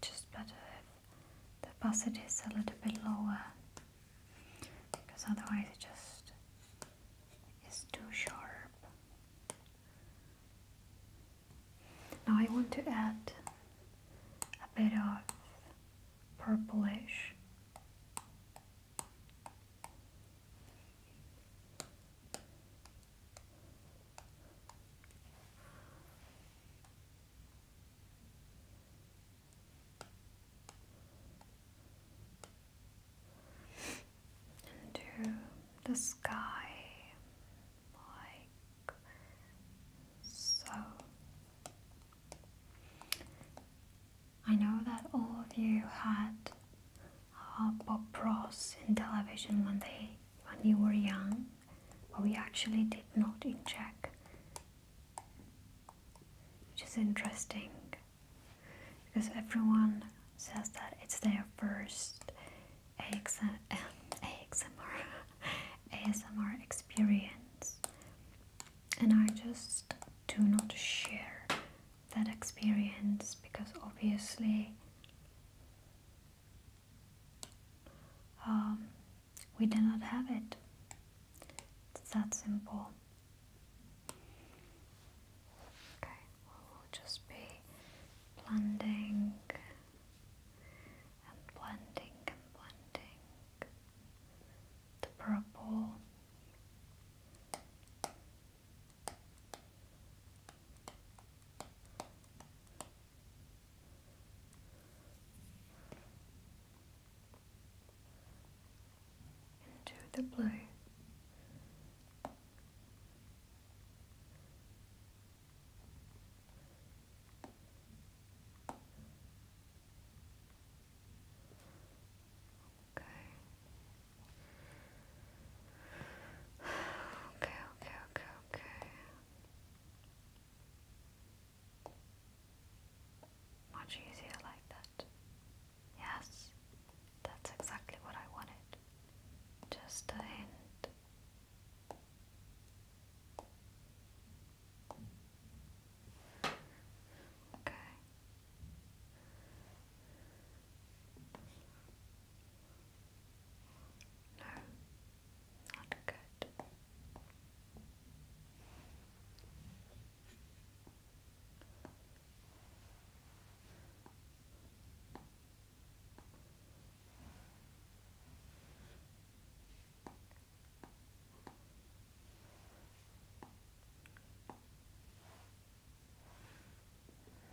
Just better if the busset is a little bit lower because otherwise it just is too sharp. Now I want to add a bit of purplish into the sky like so. I know that all of you had Bob Ross in television when they when you were young, but we actually did not in Czech, which is interesting because everyone says that it's their first AXM, AXMR ASMR experience, and I just do not share that experience because obviously um, we do not have it. It's that simple. Okay, we'll just be blending and blending and blending the purple. Into the blue, Okay. Okay, okay, okay, Much easier like that. Yes, that's exactly what I wanted. Just a hint Okay. No, not good.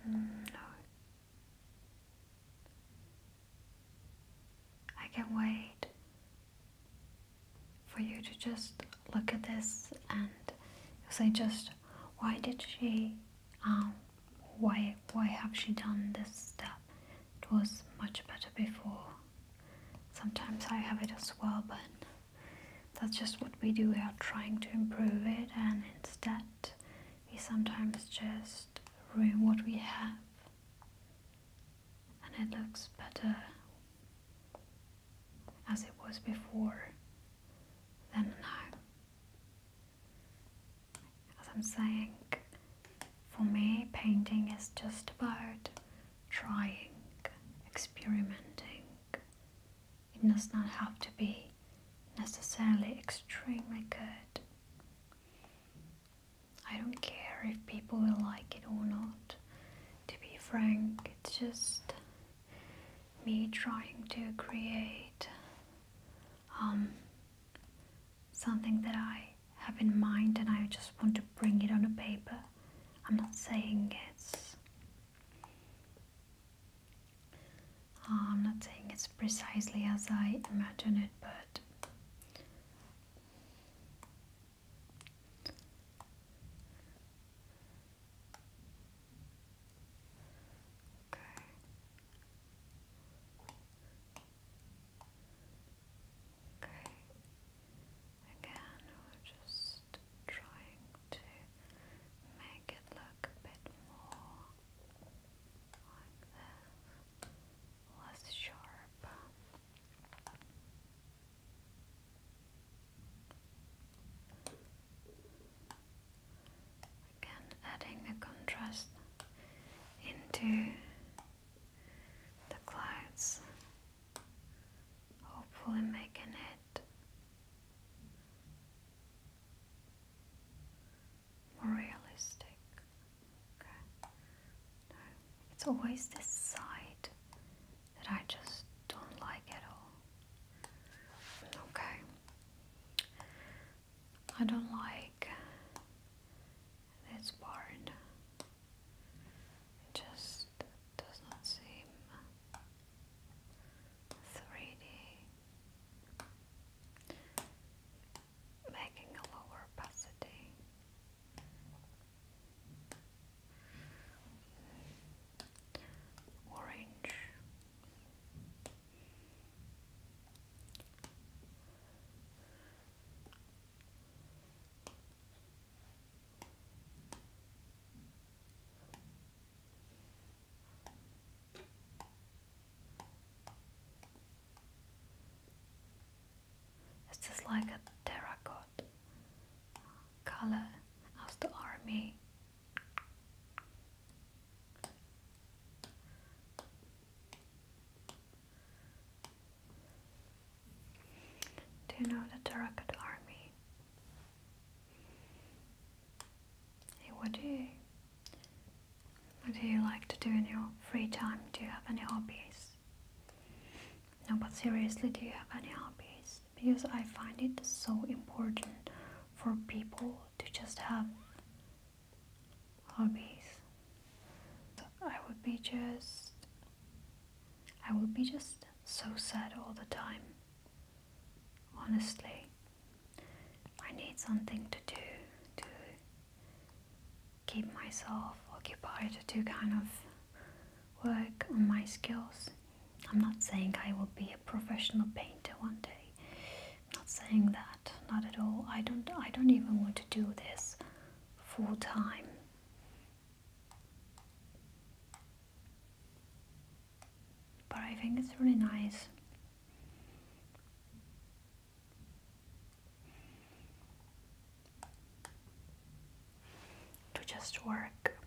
Mm, I can not wait for you to just look at this and say just why did she um, why why have she done this step? It was much better before. Sometimes I have it as well, but that's just what we do. We are trying to improve it, and instead, we sometimes just ruin what we have, and it looks better as it was before than now. As I'm saying, for me, painting is just about trying, experimenting. It does not have to be necessarily extremely good. I don't care if people will like it or not. To be frank, it's just me trying to create um, something that I have in mind and I just want to bring it on a paper. I'm not saying it's I'm not saying it's precisely as I imagine it, but Okay. Again, we're just trying to make it look a bit more like less sharp. Again, adding a contrast into the clouds, hopefully making it more realistic. Okay. it's always this side that I just don't like at all. Okay. I don't like this part. It just does not seem 3D. Making a lower opacity. Orange. It's just like a terracotta color of the army? Do you know the Tarakat army? Hey, what do you what do you like to do in your free time? Do you have any hobbies? No, but seriously, do you have any hobbies? Because I find it so important for people to just have hobbies. I would be just I will be just so sad all the time. Honestly, I need something to do to keep myself occupied, to kind of work on my skills. I'm not saying I will be a professional painter one day. I'm not saying that, not at all. I don't I don't even want to do this full time. But I think it's really nice. To just work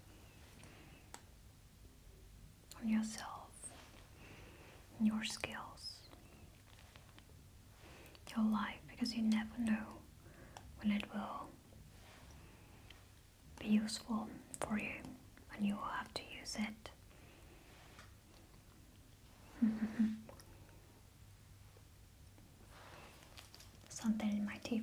on yourself, your skills, your life, because you never know when it will be useful for you and you will have to use it. Something in my teeth.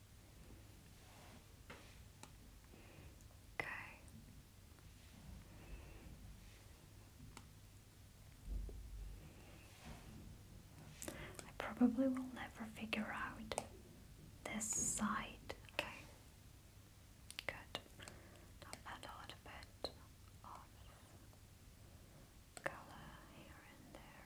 I probably will never figure out this side. Okay. Good. add a little bit of color here and there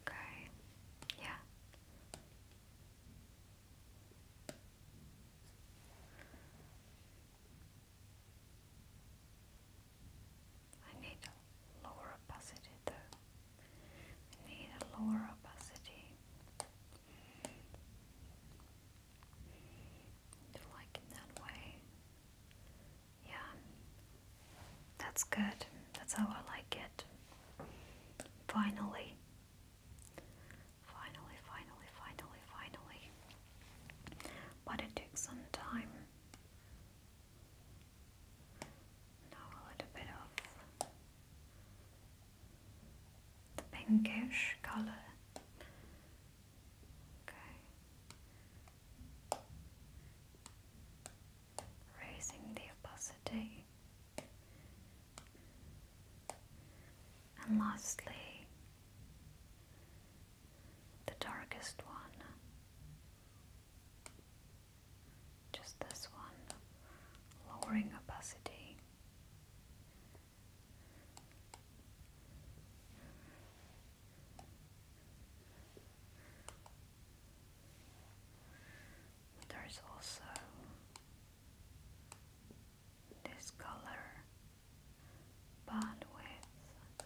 Okay, yeah. I need a lower opacity though. I need a lower opacity. Do like it that way. Yeah, that's good. That's how I like it. Finally. Finally, finally, finally, But it took some time. Now a little bit of the pinkish color. Okay raising the opacity, and lastly, the darkest one, just this one, lowering opacity. There's also this color, but with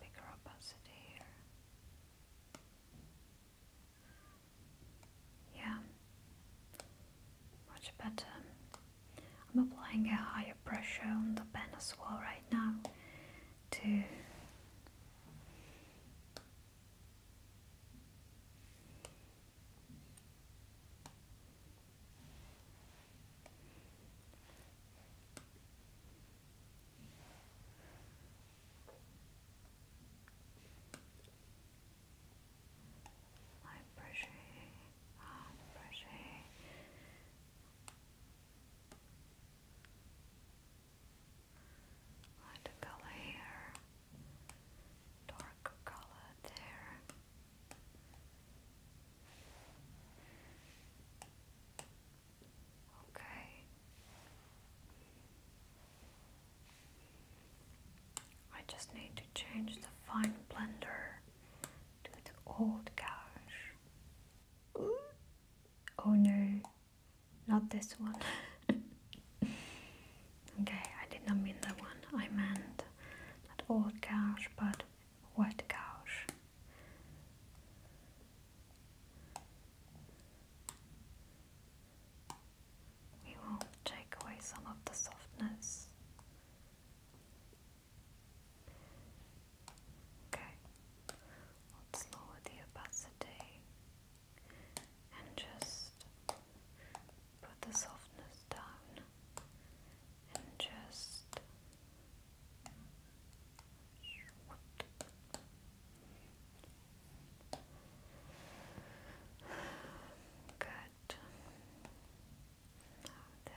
bigger opacity here. Yeah, much better. I'm applying a higher pressure on the pen as well right now two, brushing, i brushing. Light color here, dark color there. Okay. I just need to change the fine blender to the old gouge. Oh no. Not this one. okay, I did not mean that one. I meant that old couch, but wet couch. We will take away some of the softness. Okay, let's lower the opacity and just put the softness down and just Good. there.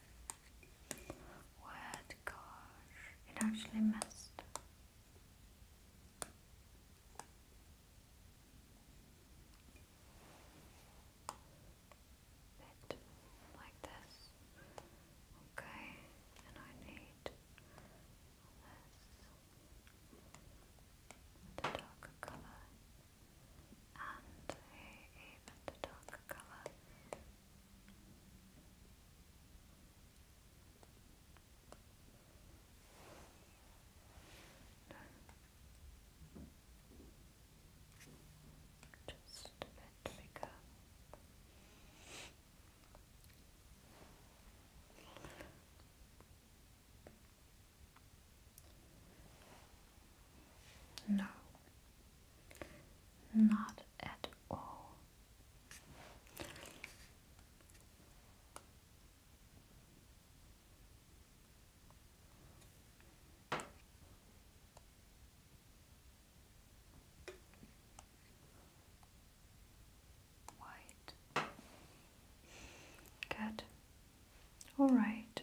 Word, gosh, it actually missed. Bit like this. Okay, and I need this, the darker color, and a even darker color just a bit bigger. No, not at all. White. Good. All right.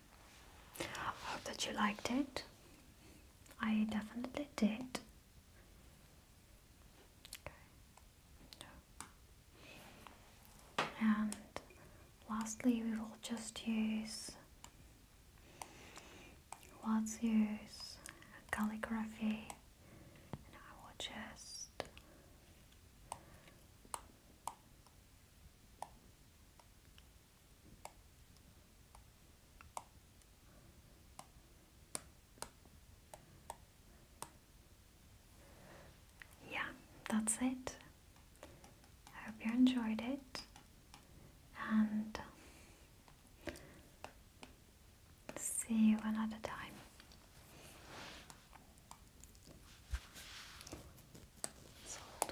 I Hope that you liked it. I definitely did. And lastly, we will just use let's use calligraphy and I will just yeah, that's it. I hope you enjoyed it and see you another time. Salt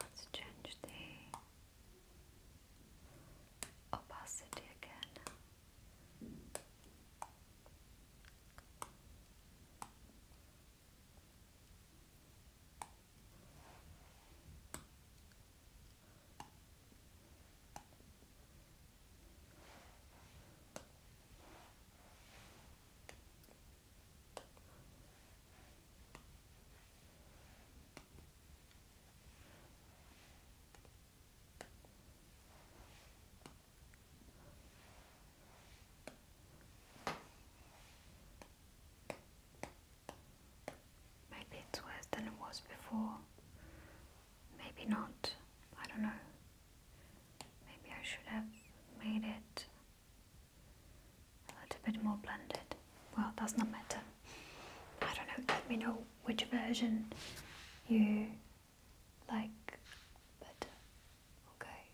Let's change the opacity again. Maybe it's worse than it was before. Maybe not. I don't know. Maybe I should have made it a little bit more blended. Well, does not matter. I don't know, let me know which version you like better. Okay.